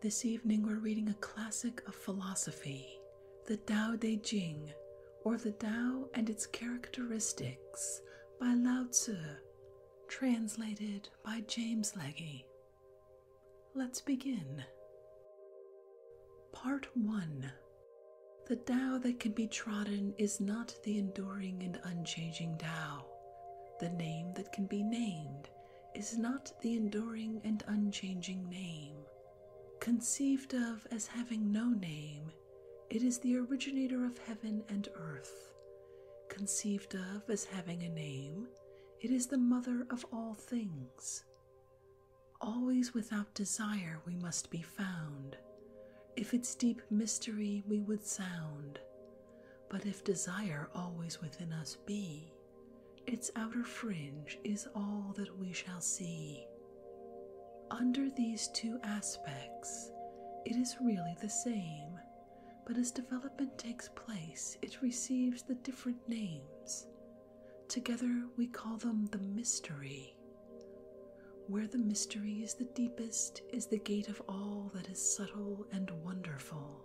This evening, we're reading a classic of philosophy, the Tao Te Ching, or the Tao and its Characteristics by Lao Tzu, translated by James Legge. Let's begin. Part 1 The Tao that can be trodden is not the enduring and unchanging Tao, the name that can be named is not the enduring and unchanging name. Conceived of as having no name, it is the originator of heaven and earth. Conceived of as having a name, it is the mother of all things. Always without desire we must be found. If its deep mystery we would sound, but if desire always within us be, its outer fringe is all that we shall see. Under these two aspects, it is really the same, but as development takes place, it receives the different names. Together, we call them the mystery. Where the mystery is the deepest is the gate of all that is subtle and wonderful.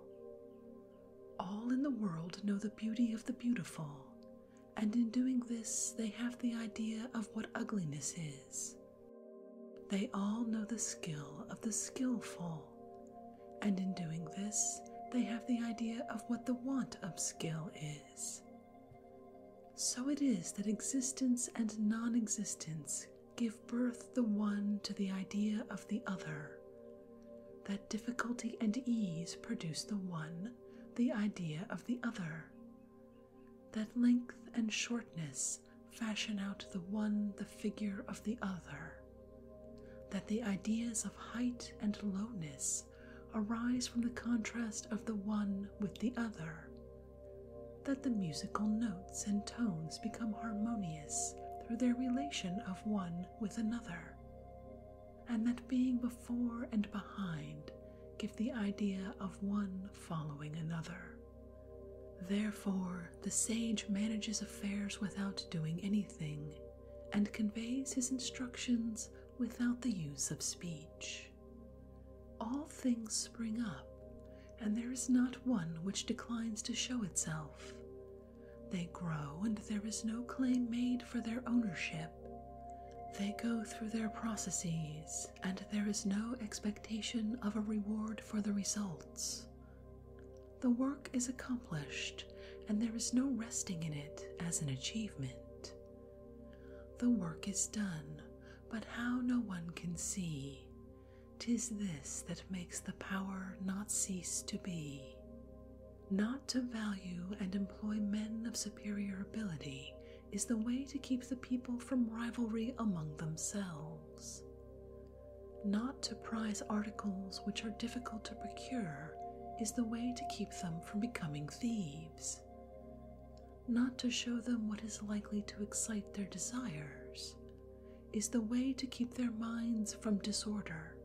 All in the world know the beauty of the beautiful, and in doing this, they have the idea of what ugliness is. They all know the skill of the skillful, and in doing this, they have the idea of what the want of skill is. So it is that existence and non existence give birth the one to the idea of the other, that difficulty and ease produce the one, the idea of the other, that length and shortness fashion out the one, the figure of the other, that the ideas of height and lowness arise from the contrast of the one with the other, that the musical notes and tones become harmonious through their relation of one with another, and that being before and behind give the idea of one following another. Therefore, the sage manages affairs without doing anything and conveys his instructions without the use of speech. All things spring up, and there is not one which declines to show itself, they grow, and there is no claim made for their ownership. They go through their processes, and there is no expectation of a reward for the results. The work is accomplished, and there is no resting in it as an achievement. The work is done, but how no one can see, Tis this that makes the power not cease to be, not to value and employ men of superior ability. Is the way to keep the people from rivalry among themselves. Not to prize articles which are difficult to procure is the way to keep them from becoming thieves. Not to show them what is likely to excite their desires is the way to keep their minds from disorder.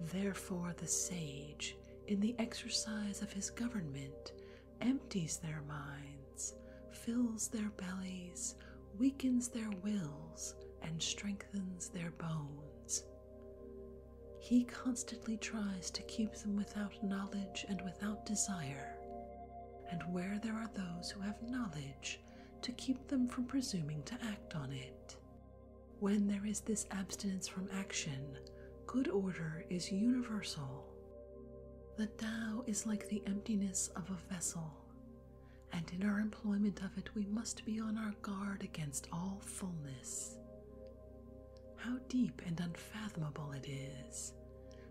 Therefore, the sage, in the exercise of his government, empties their minds, fills their bellies, weakens their wills, and strengthens their bones. He constantly tries to keep them without knowledge and without desire, and where there are those who have knowledge, to keep them from presuming to act on it. When there is this abstinence from action, good order is universal. The Tao is like the emptiness of a vessel, and in our employment of it, we must be on our guard against all fullness. How deep and unfathomable it is,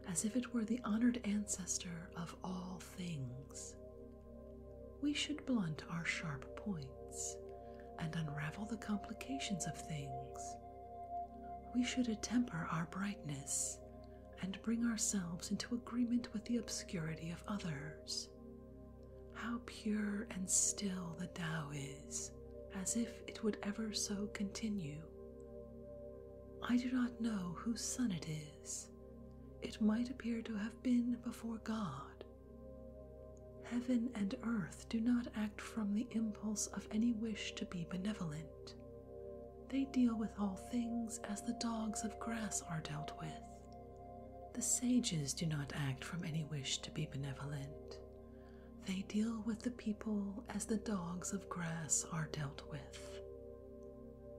as if it were the honored ancestor of all things, we should blunt our sharp points and unravel the complications of things. We should attemper our brightness and bring ourselves into agreement with the obscurity of others. How pure and still the Tao is, as if it would ever so continue. I do not know whose sun it is it might appear to have been before God. Heaven and earth do not act from the impulse of any wish to be benevolent. They deal with all things as the dogs of grass are dealt with. The sages do not act from any wish to be benevolent. They deal with the people as the dogs of grass are dealt with.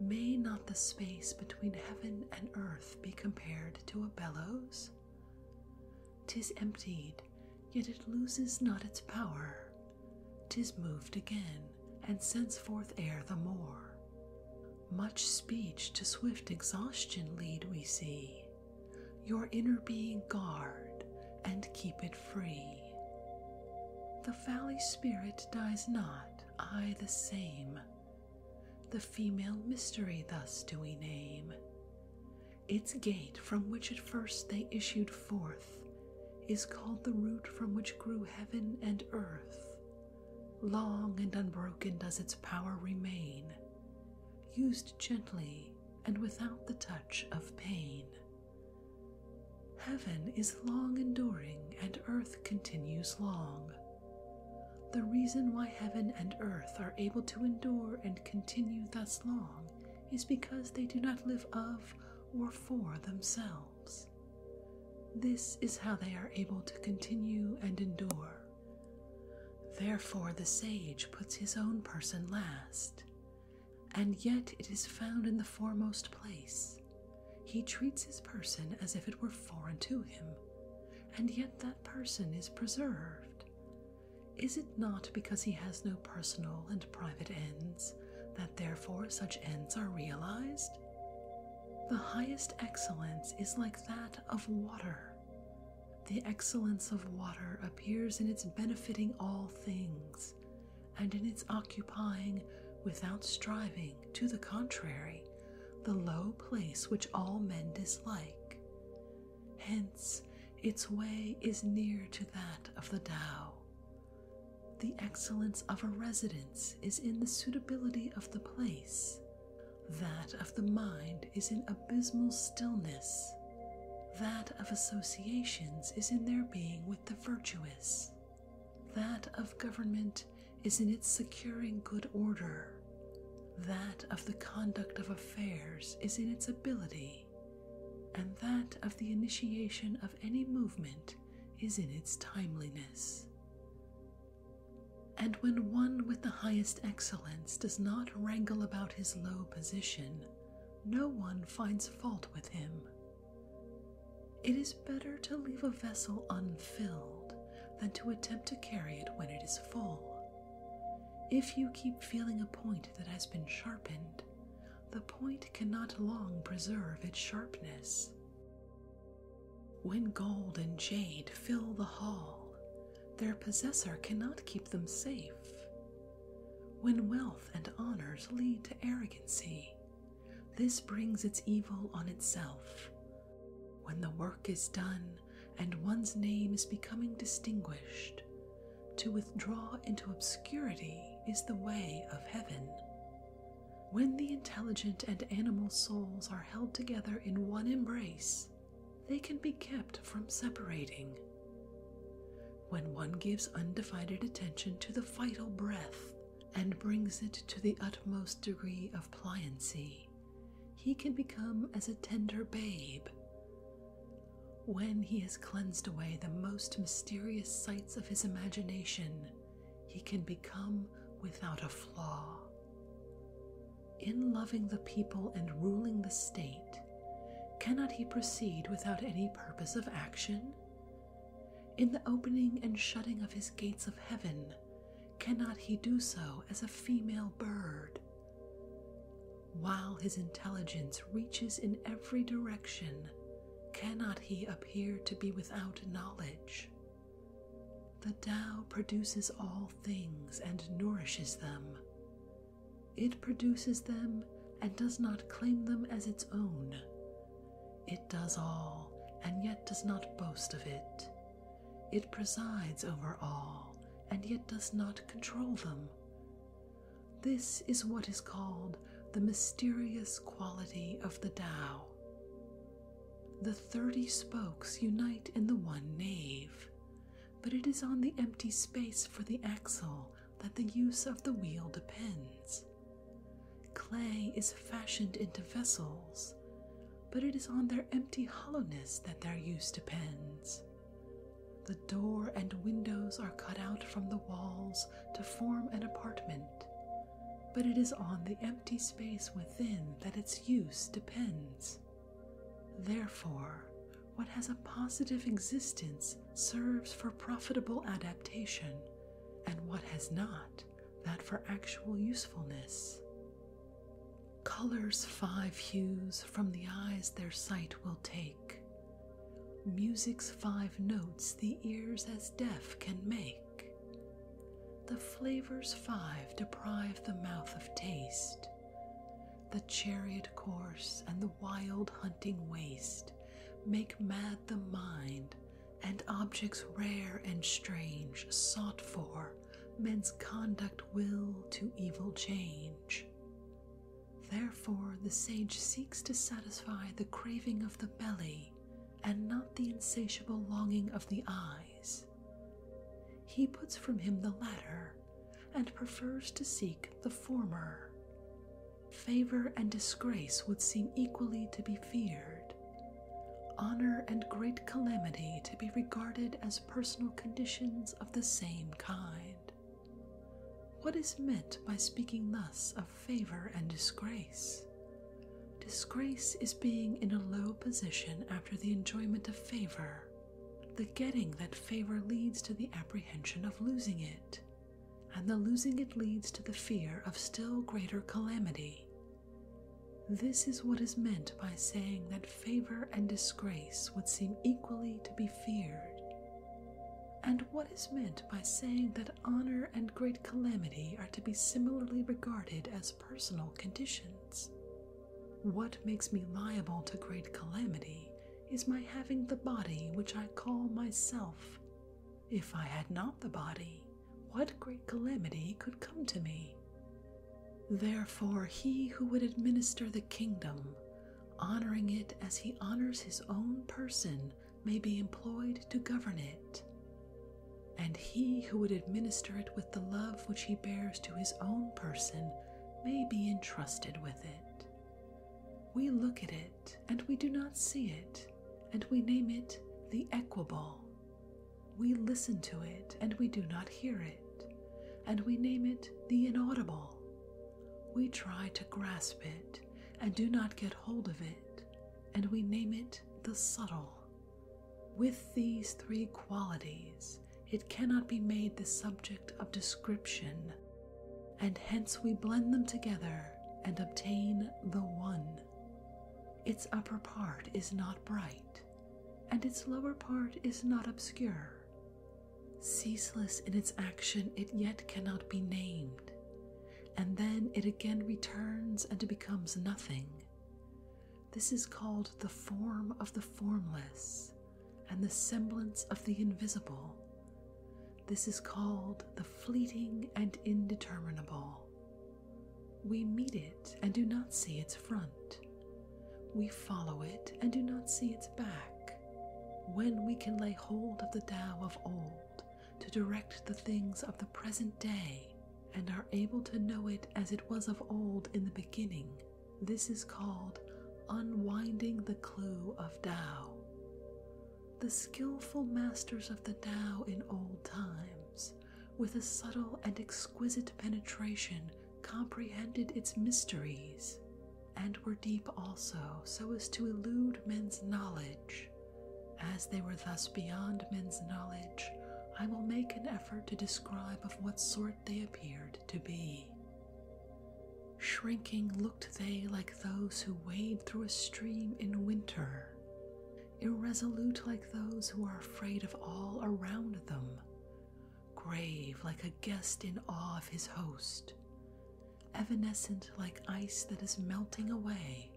May not the space between heaven and earth be compared to a bellows? Tis emptied, yet it loses not its power. Tis moved again, and sends forth air the more. Much speech to swift exhaustion lead we see. Your inner being guard, and keep it free. The valley spirit dies not, I the same, the female mystery, thus do we name. Its gate from which at first they issued forth is called the root from which grew heaven and earth. Long and unbroken does its power remain, used gently and without the touch of pain. Heaven is long enduring, and earth continues long. The reason why heaven and earth are able to endure and continue thus long is because they do not live of or for themselves. This is how they are able to continue and endure. Therefore, the sage puts his own person last, and yet it is found in the foremost place. He treats his person as if it were foreign to him, and yet that person is preserved. Is it not because he has no personal and private ends that therefore such ends are realized? The highest excellence is like that of water. The excellence of water appears in its benefiting all things, and in its occupying, without striving to the contrary, the low place which all men dislike. Hence, its way is near to that of the Tao. The excellence of a residence is in the suitability of the place. That of the mind is in abysmal stillness. That of associations is in their being with the virtuous. That of government is in its securing good order. That of the conduct of affairs is in its ability, and that of the initiation of any movement is in its timeliness. And when one with the highest excellence does not wrangle about his low position, no one finds fault with him. It is better to leave a vessel unfilled than to attempt to carry it when it is full. If you keep feeling a point that has been sharpened, the point cannot long preserve its sharpness. When gold and jade fill the hall, their possessor cannot keep them safe. When wealth and honors lead to arrogancy, this brings its evil on itself. When the work is done and one's name is becoming distinguished, to withdraw into obscurity is the way of heaven. When the intelligent and animal souls are held together in one embrace, they can be kept from separating. When one gives undivided attention to the vital breath and brings it to the utmost degree of pliancy, he can become as a tender babe. When he has cleansed away the most mysterious sights of his imagination, he can become without a flaw. In loving the people and ruling the state, cannot he proceed without any purpose of action? In the opening and shutting of his gates of heaven, cannot he do so as a female bird? While his intelligence reaches in every direction, cannot he appear to be without knowledge? The Tao produces all things and nourishes them. It produces them and does not claim them as its own, it does all, and yet does not boast of it. It presides over all, and yet does not control them. This is what is called the mysterious quality of the Tao. The thirty spokes unite in the one nave, but it is on the empty space for the axle that the use of the wheel depends. Clay is fashioned into vessels, but it is on their empty hollowness that their use depends. The door and windows are cut out from the walls to form an apartment, but it is on the empty space within that its use depends. Therefore, what has a positive existence serves for profitable adaptation, and what has not that for actual usefulness. Colors five hues from the eyes their sight will take, music's five notes the ears as deaf can make, the flavors five deprive the mouth of taste, the chariot course and the wild hunting waste make mad the mind and objects rare and strange sought for men's conduct will to evil change. Therefore, the sage seeks to satisfy the craving of the belly and not the insatiable longing of the eyes. He puts from him the latter and prefers to seek the former. Favor and disgrace would seem equally to be feared. Honor and great calamity to be regarded as personal conditions of the same kind. What is meant by speaking thus of favor and disgrace? Disgrace is being in a low position after the enjoyment of favor. The getting that favor leads to the apprehension of losing it, and the losing it leads to the fear of still greater calamity, this is what is meant by saying that favor and disgrace would seem equally to be feared, and what is meant by saying that honor and great calamity are to be similarly regarded as personal conditions. What makes me liable to great calamity is my having the body which I call myself, if I had not the body, what great calamity could come to me? Therefore, he who would administer the kingdom, honoring it as he honors his own person, may be employed to govern it. And he who would administer it with the love which he bears to his own person may be entrusted with it. We look at it, and we do not see it, and we name it the equable. We listen to it and we do not hear it, and we name it the inaudible. We try to grasp it and do not get hold of it, and we name it the subtle. With these three qualities, it cannot be made the subject of description, and hence we blend them together and obtain the one. Its upper part is not bright, and its lower part is not obscure. Ceaseless in its action, it yet cannot be named, and then it again returns and becomes nothing. This is called the form of the formless and the semblance of the invisible. This is called the fleeting and indeterminable. We meet it and do not see its front. We follow it and do not see its back. When we can lay hold of the Tao of old to direct the things of the present day and are able to know it as it was of old in the beginning, this is called unwinding the clue of Tao. The skilful masters of the Tao in old times with a subtle and exquisite penetration comprehended its mysteries and were deep also so as to elude men's knowledge as they were thus beyond men's knowledge i will make an effort to describe of what sort they appeared to be shrinking looked they like those who wade through a stream in winter irresolute like those who are afraid of all around them, grave like a guest in awe of his host, evanescent like ice that is melting away,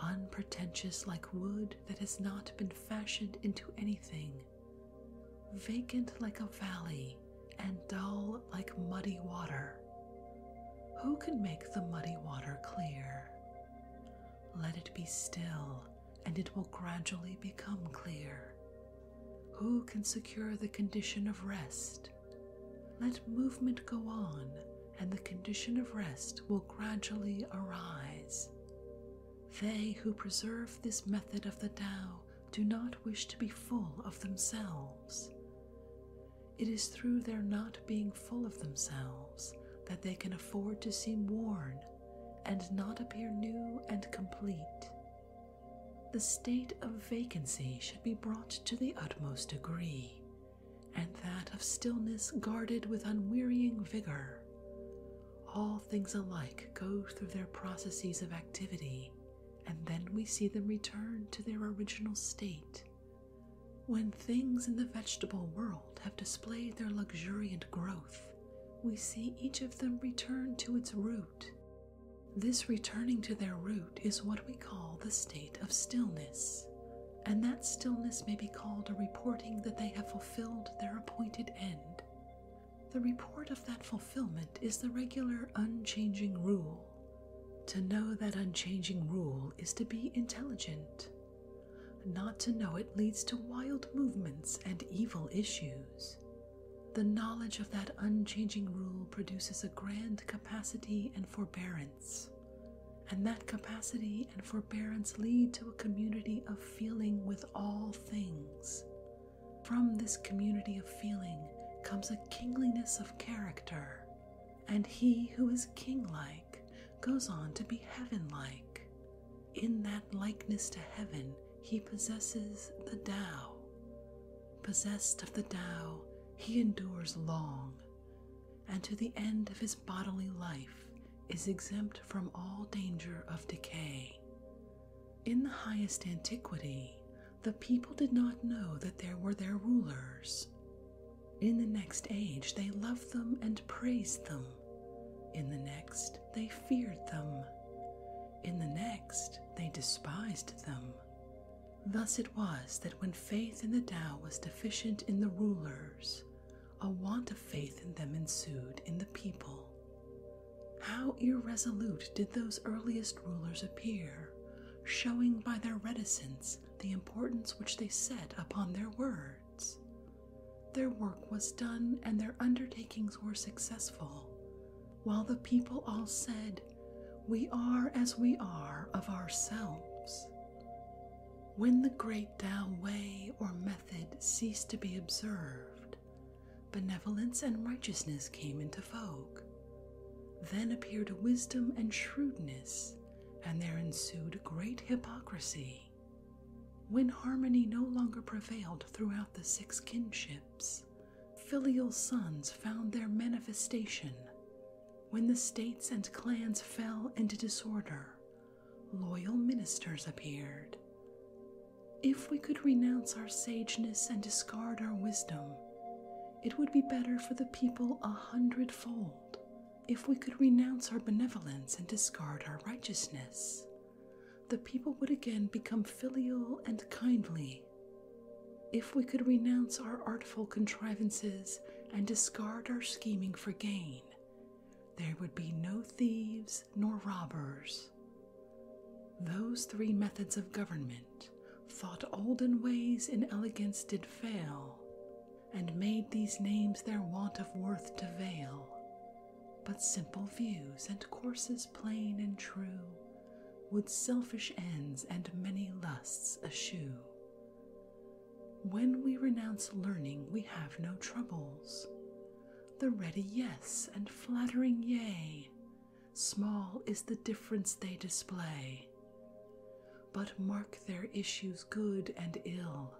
unpretentious like wood that has not been fashioned into anything, vacant like a valley and dull like muddy water. Who can make the muddy water clear? Let it be still, and it will gradually become clear. Who can secure the condition of rest? Let movement go on, and the condition of rest will gradually arise. They who preserve this method of the Tao do not wish to be full of themselves. It is through their not being full of themselves that they can afford to seem worn and not appear new and complete. The state of vacancy should be brought to the utmost degree, and that of stillness guarded with unwearying vigor. All things alike go through their processes of activity, and then we see them return to their original state when things in the vegetable world have displayed their luxuriant growth, we see each of them return to its root. This returning to their root is what we call the state of stillness, and that stillness may be called a reporting that they have fulfilled their appointed end. The report of that fulfillment is the regular unchanging rule. To know that unchanging rule is to be intelligent. Not to know it leads to wild movements and evil issues. The knowledge of that unchanging rule produces a grand capacity and forbearance, and that capacity and forbearance lead to a community of feeling with all things. From this community of feeling comes a kingliness of character, and he who kinglike goes on to be heavenlike. In that likeness to heaven, he possesses the Tao. Possessed of the Tao, he endures long, and to the end of his bodily life is exempt from all danger of decay. In the highest antiquity, the people did not know that there were their rulers, in the next age, they loved them and praised them. In the next, they feared them. In the next, they despised them. Thus it was that when faith in the Tao was deficient in the rulers, a want of faith in them ensued in the people. How irresolute did those earliest rulers appear, showing by their reticence the importance which they set upon their word! Their work was done and their undertakings were successful, while the people all said, We are as we are of ourselves. When the great Tao way or method ceased to be observed, benevolence and righteousness came into vogue. Then appeared wisdom and shrewdness, and there ensued great hypocrisy. When harmony no longer prevailed throughout the six kinships, filial sons found their manifestation. When the states and clans fell into disorder, loyal ministers appeared. If we could renounce our sageness and discard our wisdom, it would be better for the people a hundredfold if we could renounce our benevolence and discard our righteousness, the people would again become filial and kindly. If we could renounce our artful contrivances and discard our scheming for gain, there would be no thieves nor robbers. Those three methods of government, thought olden ways in elegance did fail, and made these names their want of worth to veil, but simple views and courses plain and true would selfish ends and many lusts eschew. When we renounce learning, we have no troubles. The ready yes and flattering yea, small is the difference they display but mark their issues good and ill.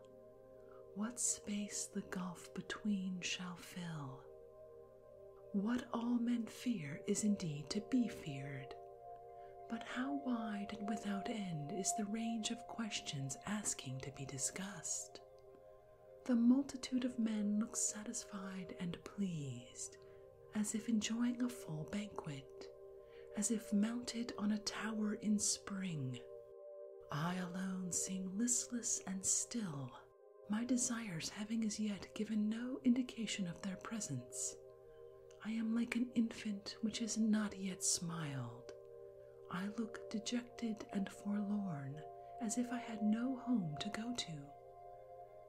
What space the gulf between shall fill. What all men fear is indeed to be feared. But how wide and without end is the range of questions asking to be discussed? The multitude of men looks satisfied and pleased, as if enjoying a full banquet, as if mounted on a tower in spring. I alone seem listless and still, my desires having as yet given no indication of their presence. I am like an infant which has not yet smiled. I look dejected and forlorn, as if I had no home to go to.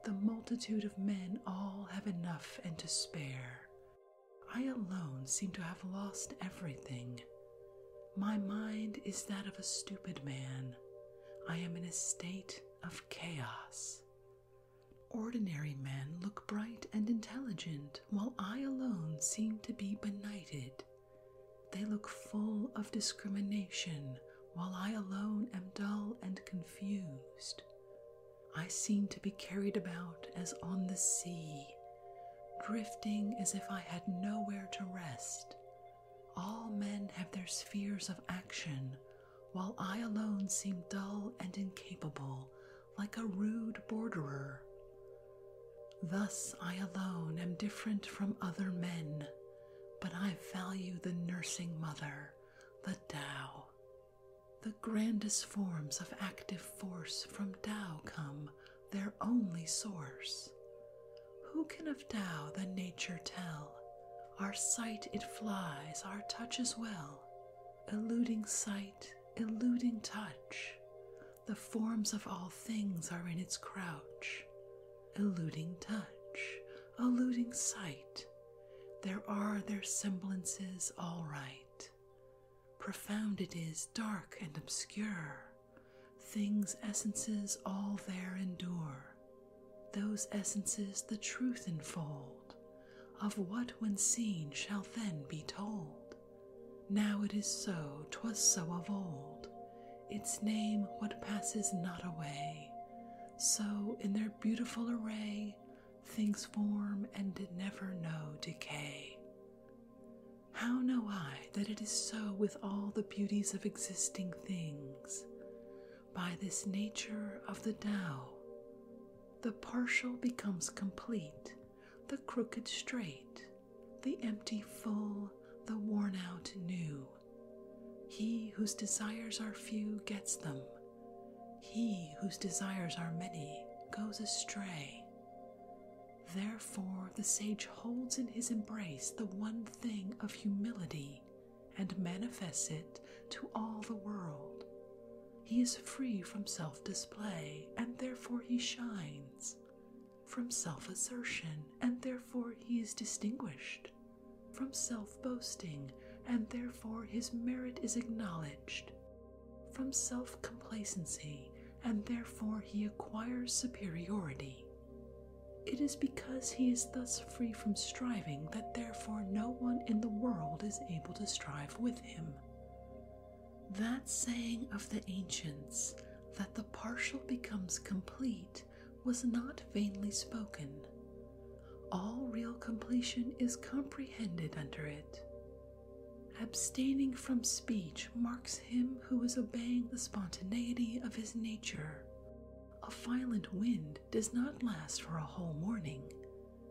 The multitude of men all have enough and to spare, I alone seem to have lost everything. My mind is that of a stupid man. I am in a state of chaos. Ordinary men look bright and intelligent, while I alone seem to be benighted. They look full of discrimination, while I alone am dull and confused. I seem to be carried about as on the sea, drifting as if I had nowhere to rest. All men have their spheres of action, while I alone seem dull and incapable, like a rude borderer. Thus, I alone am different from other men, but I value the nursing mother, the Tao, the grandest forms of active force from Tao come, their only source. Who can of Tao the nature tell? Our sight it flies, our touch as well, eluding sight, eluding touch. The forms of all things are in its crouch, eluding touch, eluding sight. There are their semblances all right profound it is, dark and obscure. Things, essences, all there endure. Those essences the truth enfold, of what when seen shall then be told. Now it is so, 'twas so of old, its name what passes not away. So in their beautiful array, things form and never know decay. How know I that it is so with all the beauties of existing things? By this nature of the Tao, the partial becomes complete, the crooked straight, the empty full, the worn out new. He whose desires are few gets them, he whose desires are many goes astray. Therefore, the sage holds in his embrace the one thing of humility and manifests it to all the world. He is free from self display, and therefore he shines, from self assertion, and therefore he is distinguished, from self boasting, and therefore his merit is acknowledged, from self complacency, and therefore he acquires superiority. It is because he is thus free from striving that therefore no one in the world is able to strive with him. That saying of the ancients, that the partial becomes complete, was not vainly spoken. All real completion is comprehended under it. Abstaining from speech marks him who is obeying the spontaneity of his nature. A violent wind does not last for a whole morning.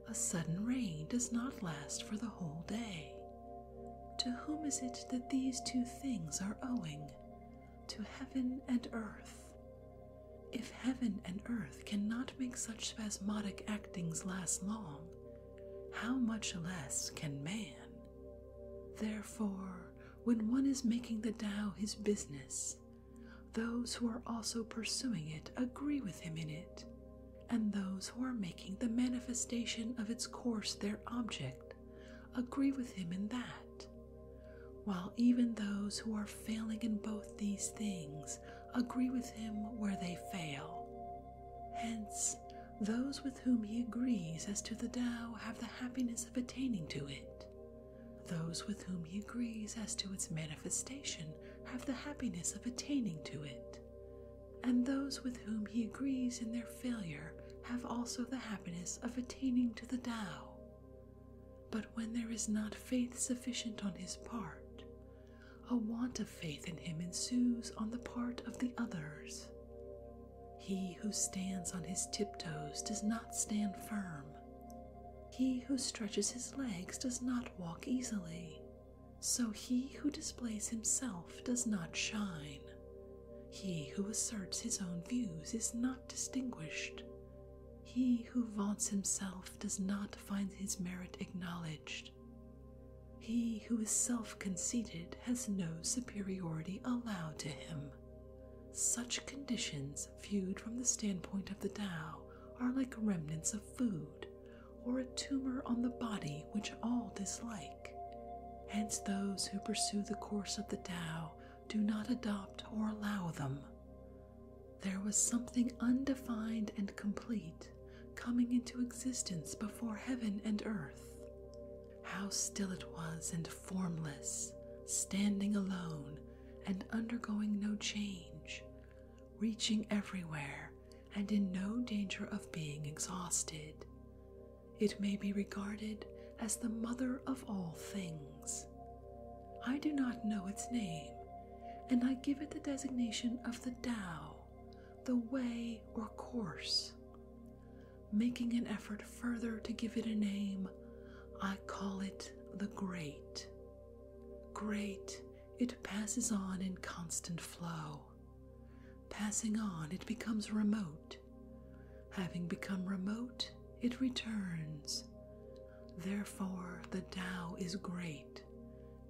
A sudden rain does not last for the whole day. To whom is it that these two things are owing? To heaven and earth. If heaven and earth cannot make such spasmodic actings last long, how much less can man? Therefore, when one is making the Tao his business, those who are also pursuing it agree with him in it, and those who are making the manifestation of its course their object agree with him in that, while even those who are failing in both these things agree with him where they fail. Hence, those with whom he agrees as to the Tao have the happiness of attaining to it. Those with whom he agrees as to its manifestation have the happiness of attaining to it. And those with whom he agrees in their failure have also the happiness of attaining to the Tao. But when there is not faith sufficient on his part, a want of faith in him ensues on the part of the others. He who stands on his tiptoes does not stand firm. He who stretches his legs does not walk easily. So he who displays himself does not shine. He who asserts his own views is not distinguished. He who vaunts himself does not find his merit acknowledged. He who is self conceited has no superiority allowed to him. Such conditions, viewed from the standpoint of the Tao, are like remnants of food, or a tumor on the body which all dislike. Hence, those who pursue the course of the Tao do not adopt or allow them. There was something undefined and complete coming into existence before heaven and earth. How still it was and formless, standing alone and undergoing no change, reaching everywhere and in no danger of being exhausted. It may be regarded as the mother of all things. I do not know its name, and I give it the designation of the Tao the way or course. Making an effort further to give it a name, I call it the great. Great, it passes on in constant flow. Passing on, it becomes remote. Having become remote, it returns. Therefore, the Tao is great,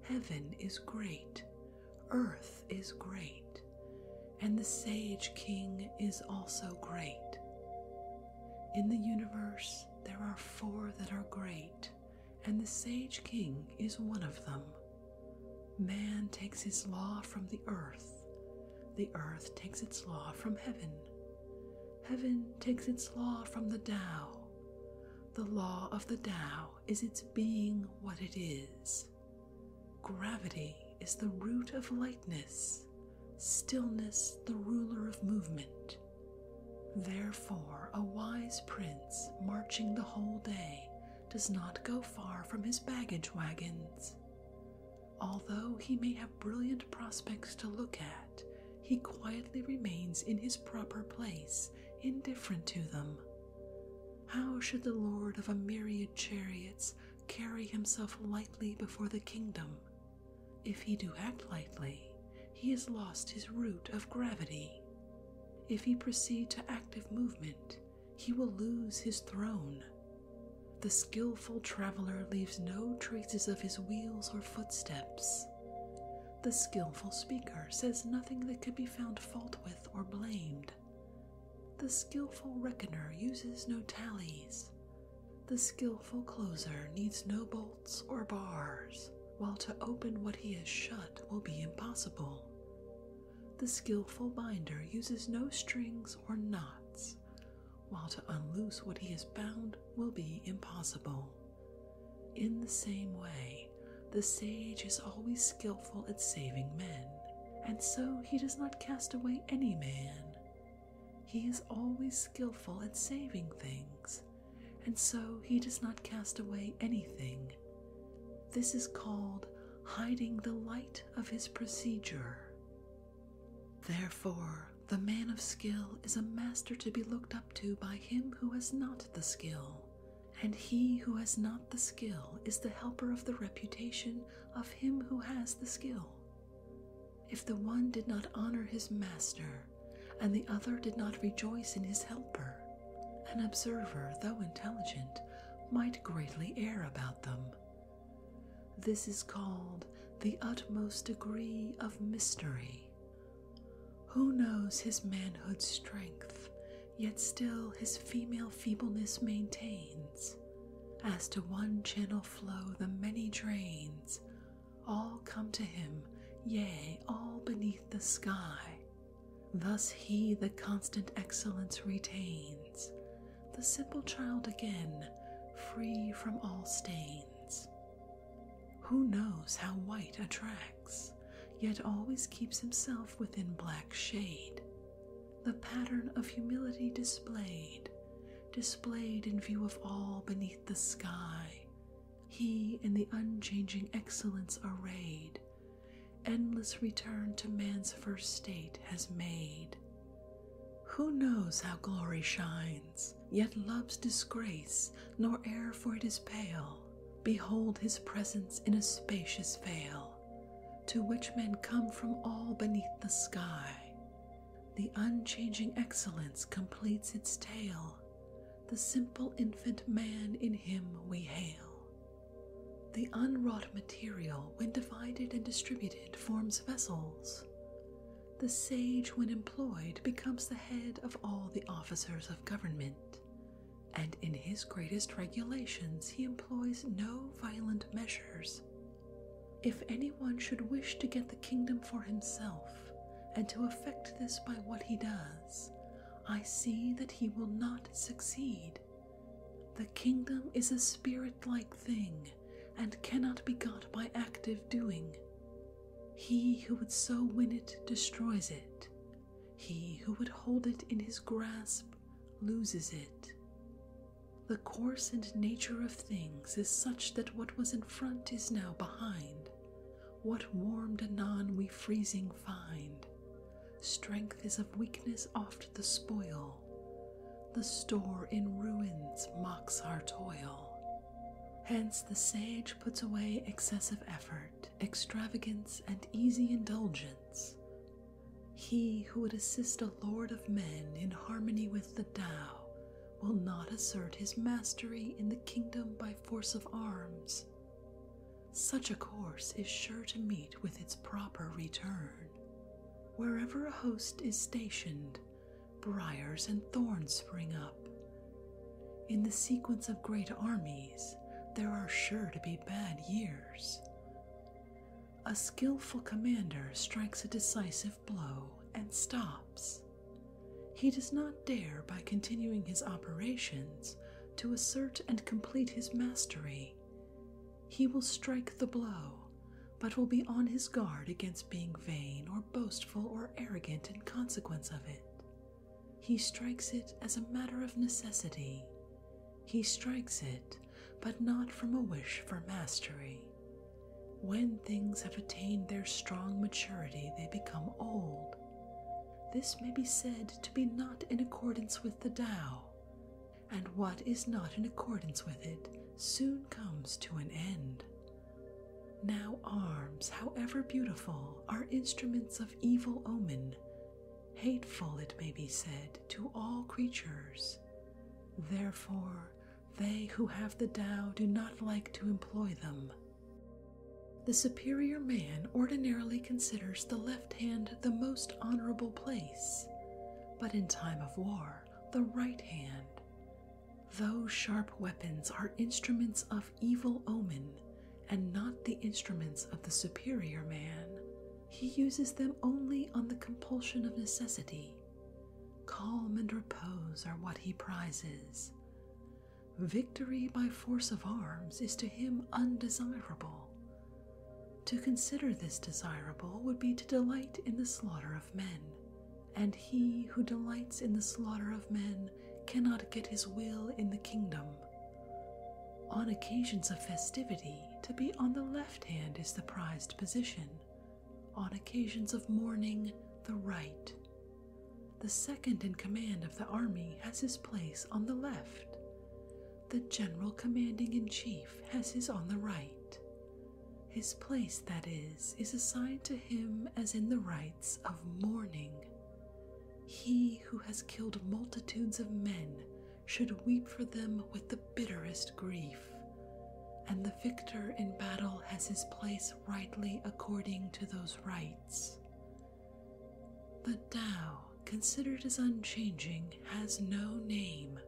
heaven is great, Earth is great, and the Sage King is also great. In the universe, there are four that are great, and the Sage King is one of them. Man takes his law from the earth, the earth takes its law from heaven, heaven takes its law from the Tao. The law of the Tao is its being what it is. Gravity is the root of lightness, stillness the ruler of movement. Therefore, a wise prince marching the whole day does not go far from his baggage wagons. Although he may have brilliant prospects to look at, he quietly remains in his proper place, indifferent to them. How should the lord of a myriad chariots carry himself lightly before the kingdom? If he do act lightly, he has lost his root of gravity. If he proceed to active movement, he will lose his throne. The skilful traveler leaves no traces of his wheels or footsteps. The skillful speaker says nothing that could be found fault with or blamed. The skillful reckoner uses no tallies. The skillful closer needs no bolts or bars, while to open what he has shut will be impossible. The skillful binder uses no strings or knots, while to unloose what he has bound will be impossible. In the same way, the sage is always skilful at saving men, and so he does not cast away any man. He is always skilful at saving things, and so he does not cast away anything. This is called hiding the light of his procedure. Therefore, the man of skill is a master to be looked up to by him who has not the skill, and he who has not the skill is the helper of the reputation of him who has the skill. If the one did not honor his master, and the other did not rejoice in his helper, an observer, though intelligent, might greatly err about them. This is called the utmost degree of mystery, who knows his manhood's strength, yet still his female feebleness maintains? As to one channel flow the many drains, all come to him, yea, all beneath the sky. Thus he the constant excellence retains, the simple child again, free from all stains. Who knows how white a track? yet always keeps himself within black shade. The pattern of humility displayed, displayed in view of all beneath the sky, he in the unchanging excellence arrayed, endless return to man's first state has made. Who knows how glory shines, yet loves disgrace, nor e'er for it is pale? behold his presence in a spacious vale, to which men come from all beneath the sky. The unchanging excellence completes its tale, the simple infant man in him we hail. The unwrought material, when divided and distributed, forms vessels. The sage, when employed, becomes the head of all the officers of government and in his greatest regulations he employs no violent measures. If anyone should wish to get the kingdom for himself, and to effect this by what he does, I see that he will not succeed. The kingdom is a spirit like thing, and cannot be got by active doing. He who would so win it destroys it, he who would hold it in his grasp loses it. The course and nature of things is such that what was in front is now behind. What warmed anon we freezing find. Strength is of weakness oft the spoil. The store in ruins mocks our toil. Hence the sage puts away excessive effort, extravagance, and easy indulgence, he who would assist a lord of men in harmony with the Tao will not assert his mastery in the kingdom by force of arms. Such a course is sure to meet with its proper return. Wherever a host is stationed, briars and thorns spring up, in the sequence of great armies, there are sure to be bad years. A skilful commander strikes a decisive blow and stops. He does not dare, by continuing his operations, to assert and complete his mastery. He will strike the blow, but will be on his guard against being vain or boastful or arrogant in consequence of it. He strikes it as a matter of necessity. He strikes it, but not from a wish for mastery. When things have attained their strong maturity, they become old. This may be said to be not in accordance with the Tao, and what is not in accordance with it soon comes to an end. Now, arms, however beautiful, are instruments of evil omen hateful, it may be said, to all creatures. Therefore, they who have the Tao do not like to employ them. The superior man ordinarily considers the left hand the most honorable place, but in time of war, the right hand. Those sharp weapons are instruments of evil omen and not the instruments of the superior man. He uses them only on the compulsion of necessity. Calm and repose are what he prizes. Victory by force of arms is to him undesirable. To consider this desirable would be to delight in the slaughter of men, and he who delights in the slaughter of men cannot get his will in the kingdom. On occasions of festivity, to be on the left hand is the prized position, on occasions of mourning, the right. The second in command of the army has his place on the left. The general commanding in chief has his on the right. His place, that is, is assigned to him as in the rites of mourning. He who has killed multitudes of men should weep for them with the bitterest grief, and the victor in battle has his place rightly according to those rights. The Tao, considered as unchanging, has no name,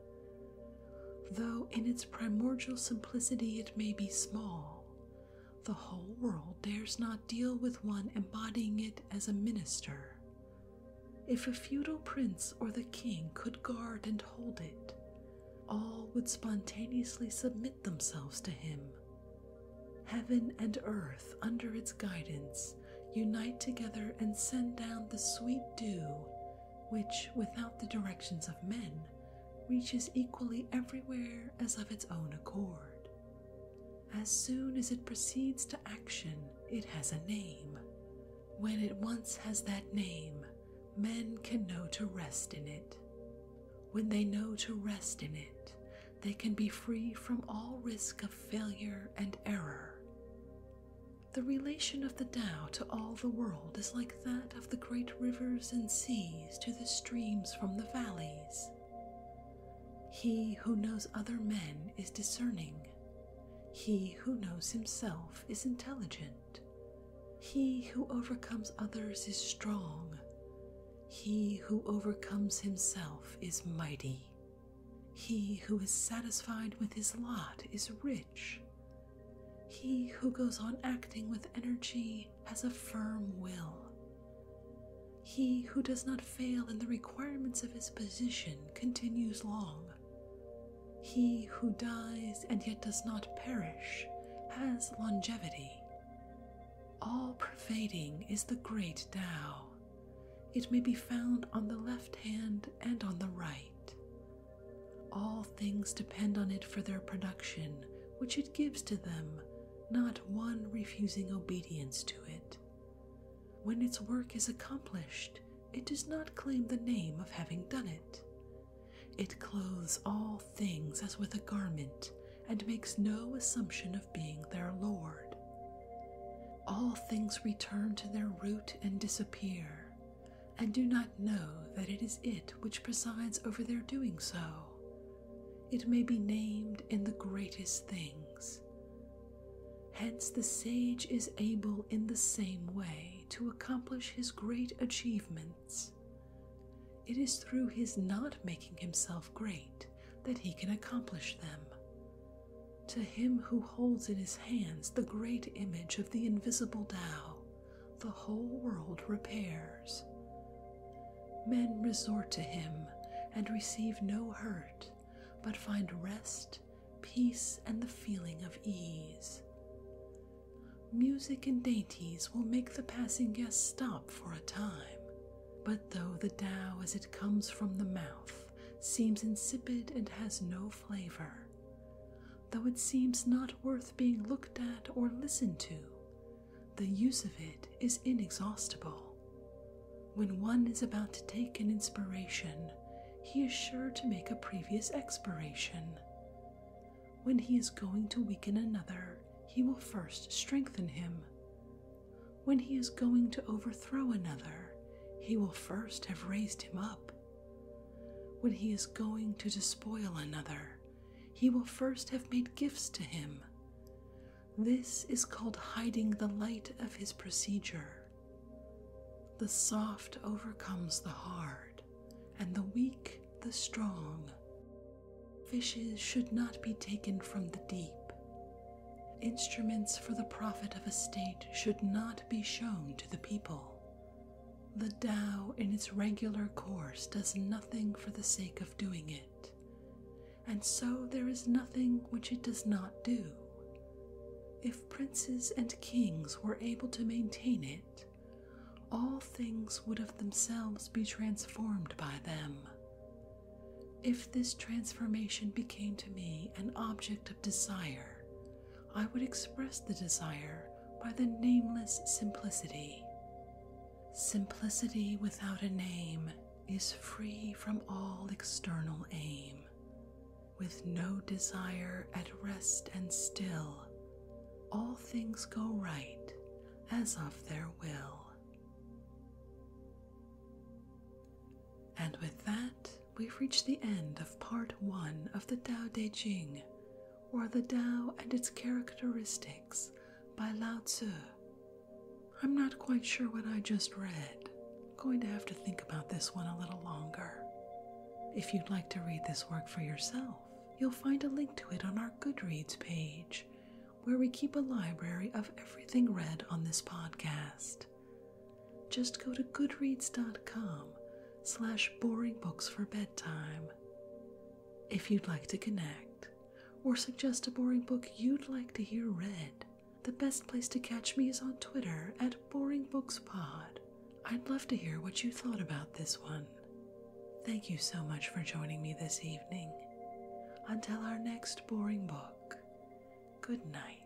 though in its primordial simplicity it may be small. The whole world dares not deal with one embodying it as a minister. If a feudal prince or the king could guard and hold it, all would spontaneously submit themselves to him. Heaven and earth, under its guidance, unite together and send down the sweet dew, which, without the directions of men, reaches equally everywhere as of its own accord. As soon as it proceeds to action, it has a name. When it once has that name, men can know to rest in it. When they know to rest in it, they can be free from all risk of failure and error. The relation of the Tao to all the world is like that of the great rivers and seas to the streams from the valleys. He who knows other men is discerning. He who knows himself is intelligent. He who overcomes others is strong. He who overcomes himself is mighty. He who is satisfied with his lot is rich. He who goes on acting with energy has a firm will. He who does not fail in the requirements of his position continues long. He who dies and yet does not perish has longevity. All pervading is the great Tao. It may be found on the left hand and on the right. All things depend on it for their production, which it gives to them, not one refusing obedience to it. When its work is accomplished, it does not claim the name of having done it. It clothes all things as with a garment and makes no assumption of being their Lord. All things return to their root and disappear, and do not know that it is it which presides over their doing so, it may be named in the greatest things. Hence, the sage is able in the same way to accomplish his great achievements. It is through his not making himself great that he can accomplish them. To him who holds in his hands the great image of the invisible Tao, the whole world repairs. Men resort to him and receive no hurt, but find rest, peace, and the feeling of ease. Music and dainties will make the passing guest stop for a time, but though the Tao as it comes from the mouth seems insipid and has no flavor, though it seems not worth being looked at or listened to, the use of it is inexhaustible. When one is about to take an inspiration, he is sure to make a previous expiration. When he is going to weaken another, he will first strengthen him. When he is going to overthrow another, he will first have raised him up. When he is going to despoil another, he will first have made gifts to him. This is called hiding the light of his procedure. The soft overcomes the hard, and the weak the strong. Fishes should not be taken from the deep. Instruments for the profit of a state should not be shown to the people. The Tao, in its regular course, does nothing for the sake of doing it and so there is nothing which it does not do. If princes and kings were able to maintain it, all things would of themselves be transformed by them. If this transformation became to me an object of desire, I would express the desire by the nameless simplicity. Simplicity without a name is free from all external aim, with no desire at rest and still, all things go right as of their will. And with that, we've reached the end of part one of the Tao Te Ching, or the Tao and its characteristics by Lao Tzu I'm not quite sure what I just read. going to have to think about this one a little longer. If you'd like to read this work for yourself, you'll find a link to it on our Goodreads page, where we keep a library of everything read on this podcast. Just go to goodreads.com slash boring books for bedtime. If you'd like to connect, or suggest a boring book you'd like to hear read, the best place to catch me is on Twitter at BoringBooksPod. I'd love to hear what you thought about this one. Thank you so much for joining me this evening. Until our next boring book, good night.